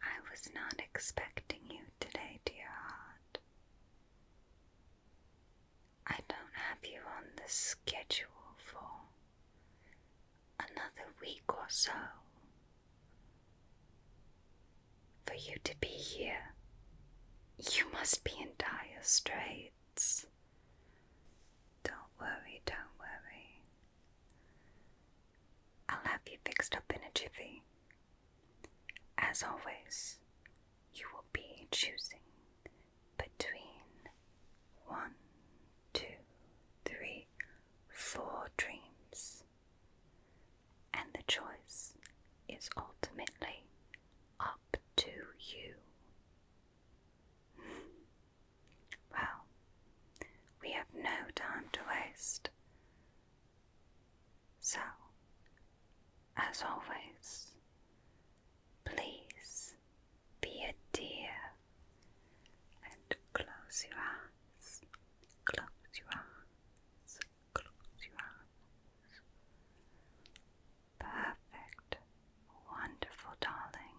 I was not expecting you today, dear heart. I don't have you on the schedule for another week or so. For you to be here, you must be in dire straits. Don't worry, don't worry. I'll have you fixed up in a jiffy. As always, you will be choosing between one, two, three, four dreams, and the choice is ultimately up to you. Well, we have no time to waste. So, as always, please be a dear and close your eyes, close your eyes, close your eyes. Perfect, wonderful, darling.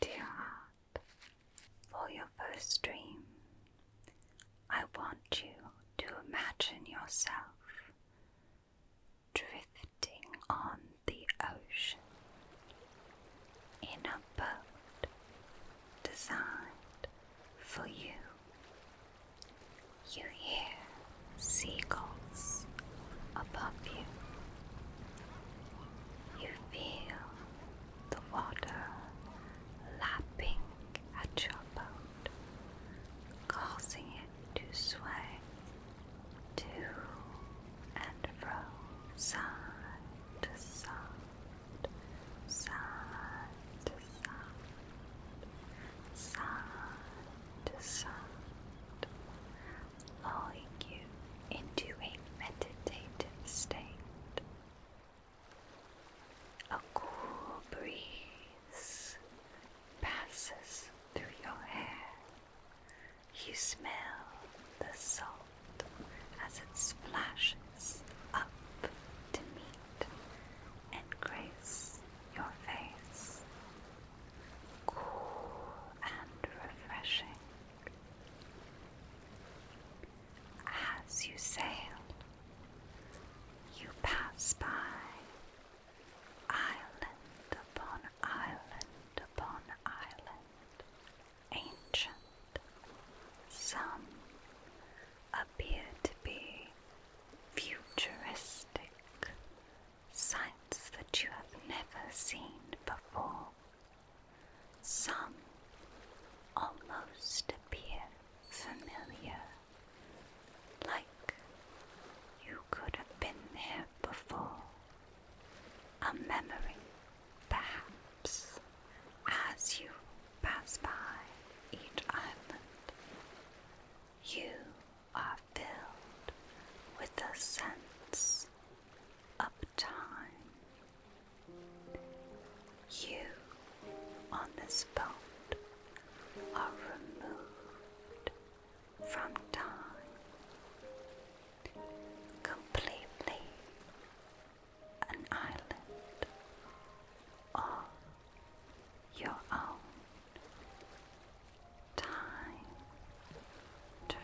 Dear heart, for your first dream, I want you to imagine yourself drifting on the ocean in a boat designed for you. You hear seagulls above you you feel the water lapping at your boat, causing it to sway to and fro, side to side, side to side, side to side, lulling you into a meditative state. A cool breeze passes through your hair. You smell the salt as it splashes up to meet and grace your face. Cool and refreshing. As you sail, you pass by island upon island upon island, ancient. Some appear to be futuristic sights that you have never seen before. Some almost appear familiar, like you could have been there before. A memory, perhaps, as you pass by each island. You are filled with the sense of time. You on this boat are removed from time, completely an island all your own. Time to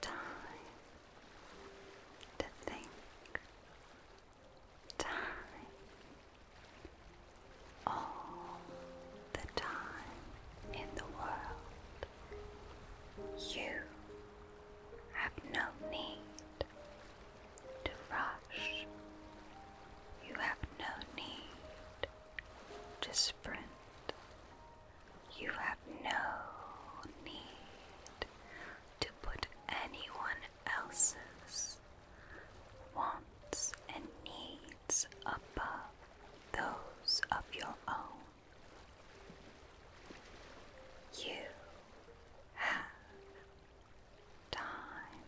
time to think, time all the time in the world. You have no need to rush. You have no need to sprint. You have no need to put anyone else's wants and needs above those of your own. You have time.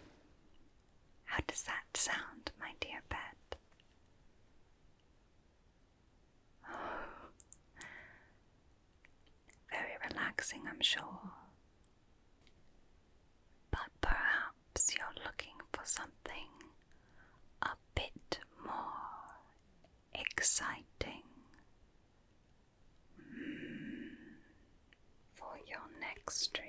How does that sound, my dear pet? very relaxing, I'm sure. But perhaps you're looking for something a bit more exciting. Hmm, for your next dream.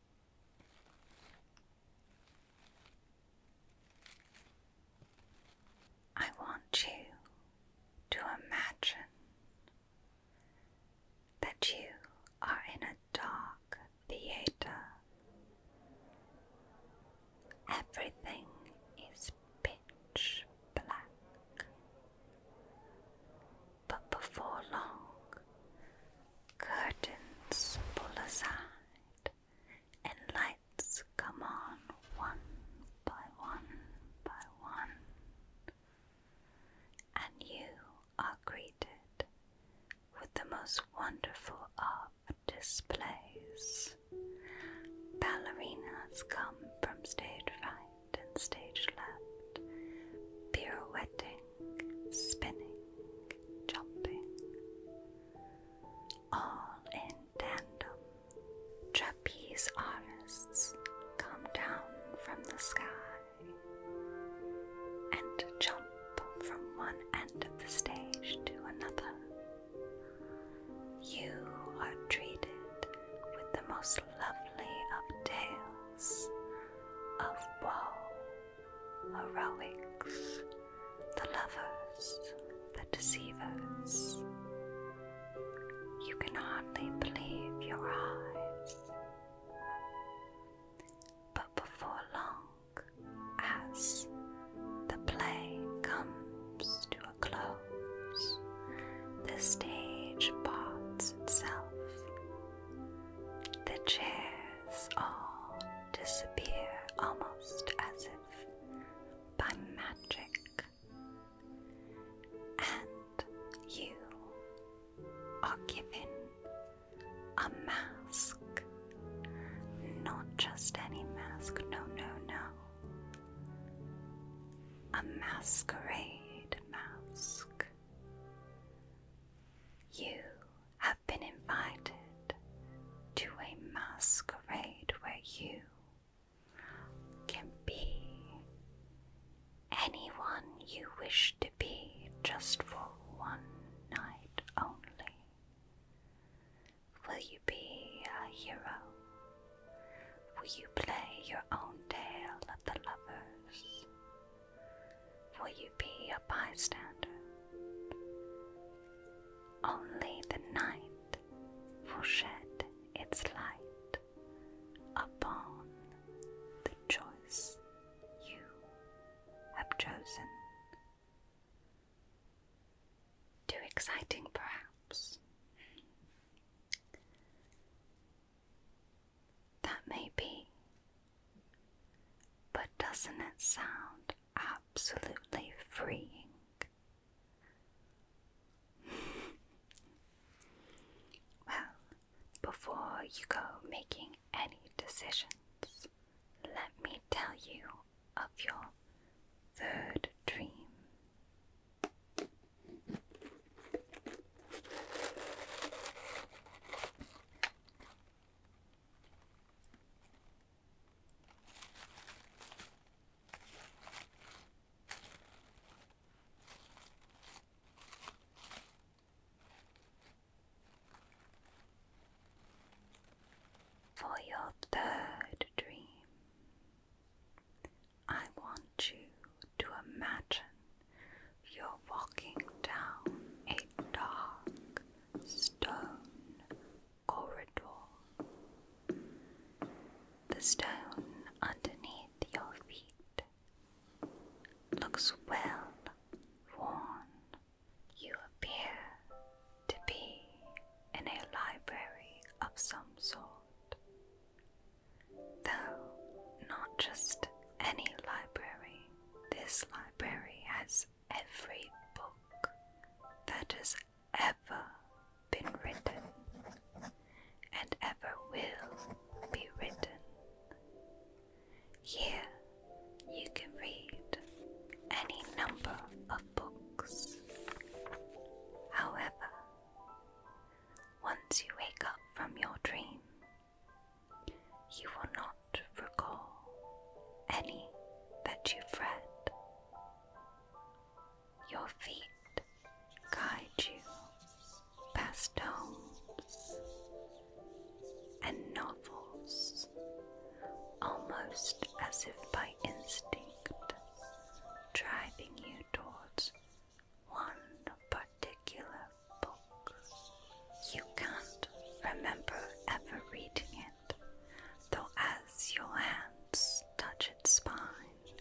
I want you to imagine that you are in a dark theater. Everything is pitch black. But before long, curtains pull aside and lights come on one by one by one, and you are greeted with the most wonderful art displays. Ballerinas come from stage right and stage left, pirouetting, spinning, jumping all in tandem. Trapeze artists come down from the sky and jump from one end of the stage to another. You are treated with the most lovely of tales of woe heroics, the lovers, the deceivers. You can hardly believe your eyes. But before long, as the play comes to a close, the stage parts itself. The chairs all disappear almost as if by magic, and you are given a mask. Not just any mask, no, no, no. A masquerade mask. You have have been invited to a masquerade where you can be anyone you wish to be just for one night only. Will you be a hero? Will you play your own tale of the lovers? Will you be a bystander. Only the night will shed its light upon the choice you have chosen. Too exciting, perhaps. That may be, but doesn't it sound absolutely freeing. well, before you go making any decisions, let me tell you of your third dream. For your third dream, I want you to imagine you're walking down a dark stone corridor. The stone underneath your feet looks well worn. You appear to be in a library of some sort, though not just any library. This library has every book that has ever been written and ever will be written. Here you can read any number of books. However, once you wake up from your dream, you will not recall any that you've read. Your feet guide you past homes and novels, almost as if by instinct, driving you towards one particular book. You can't remember ever reading it it, though as your hands touch its spine,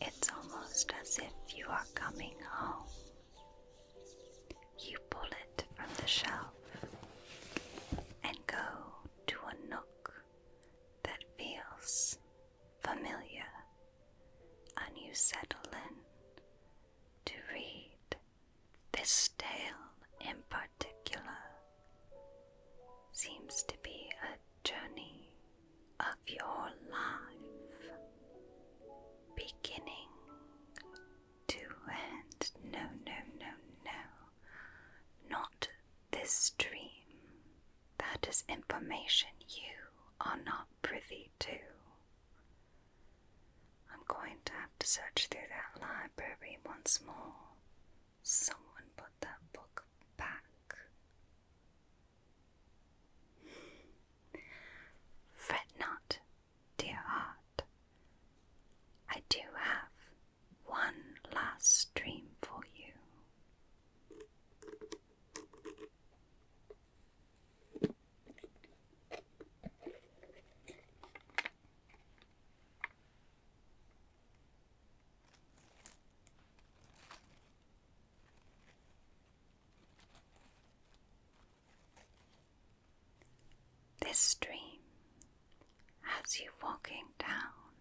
it's almost as if you are coming home. You pull it from the shelf and go to a nook that feels familiar, and you settle in to read this tale in particular seems to be a journey of your life, beginning to end. No, no, no, no, not this dream. That is information you are not privy to. I'm going to to search through that library once more. Someone put that book back. Fret not, dear heart. I do have one last dream for you. This dream has you walking down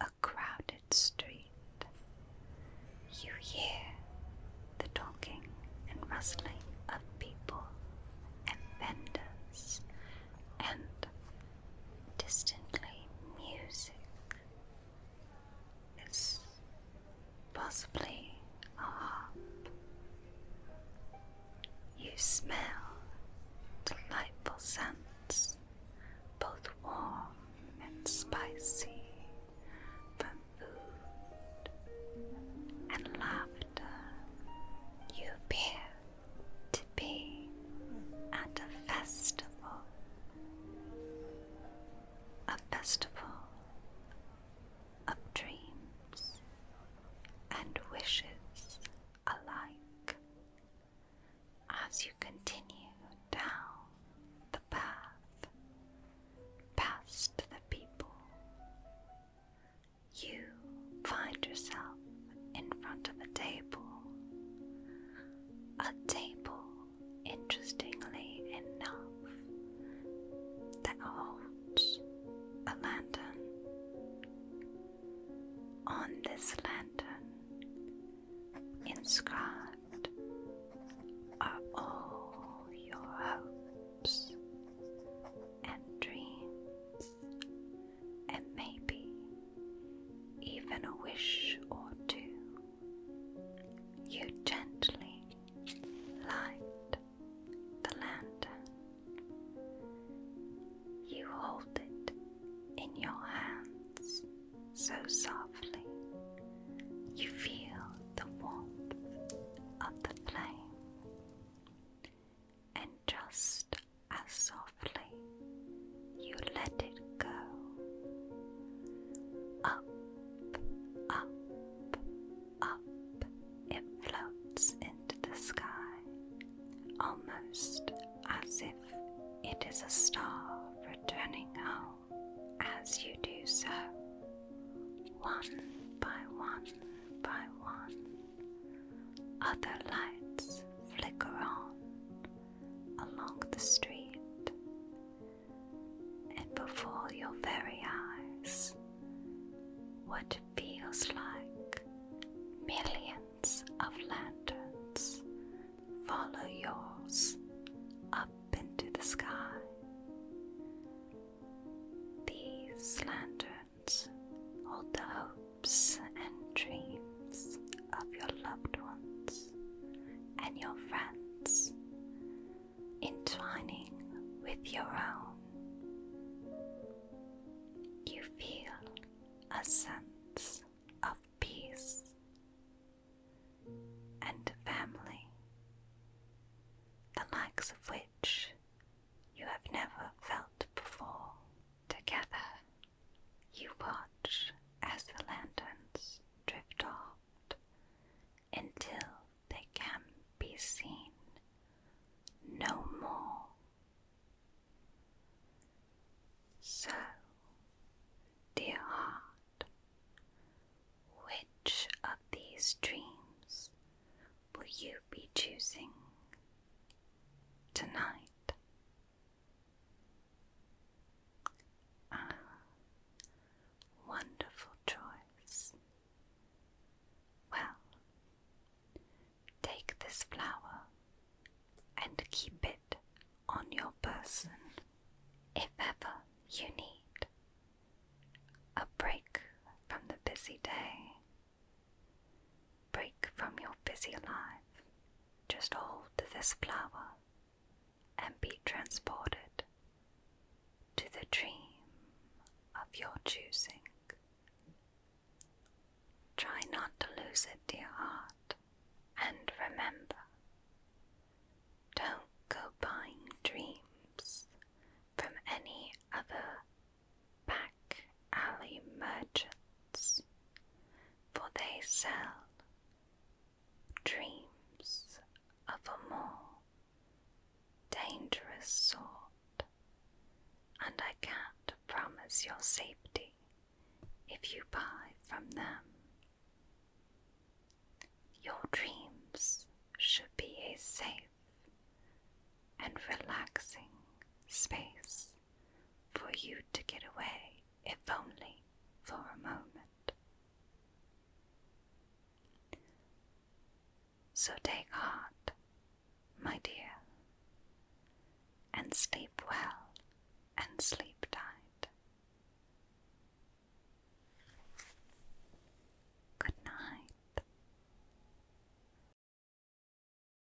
a crowded street. You hear the talking and rustling of people and vendors and distantly music It's possibly a harp. You smell delightful scents, both warm and spicy, from food and laughter. You appear to be at a festival, a festival of dreams and wishes alike as you continue down the path past the people you find yourself in front of a table. A table, interestingly enough, that holds a lantern. On this lantern, inscribed, are all your hopes and dreams and maybe even a wish or two, you gently light the land. You hold it in your hands so softly, you feel the warmth of the flame, and just as softly you let it go. Up, up, up, it floats into the sky, almost as if it is a star returning home as you do so, one by one by one. Other lights flicker on along the street, and before your very eyes, what feels like millions of lanterns follow yours up into the sky. These lanterns hold the hopes and dreams of your loved ones and your friends, intertwining with your own. You feel a sense of peace and family, the likes of which you have never felt before. Together, you watch as the lanterns drift off until they can be seen no more. So, dear heart, which of these dreams will you be choosing? tonight. Ah, wonderful choice. Well, take this flower and keep it on your person if ever you need a break from the busy day. Break from your busy life, just hold this flower and be transported to the dream of your choosing. Try not to lose it, dear heart, and remember don't go buying dreams from any other back alley merchants, for they sell dreams of a more dangerous sort, and I can't promise your safety if you buy from them. Your dreams should be a safe and relaxing space for you to get away, if only for a moment. So take heart, my dear, and sleep well and sleep tight. Good night.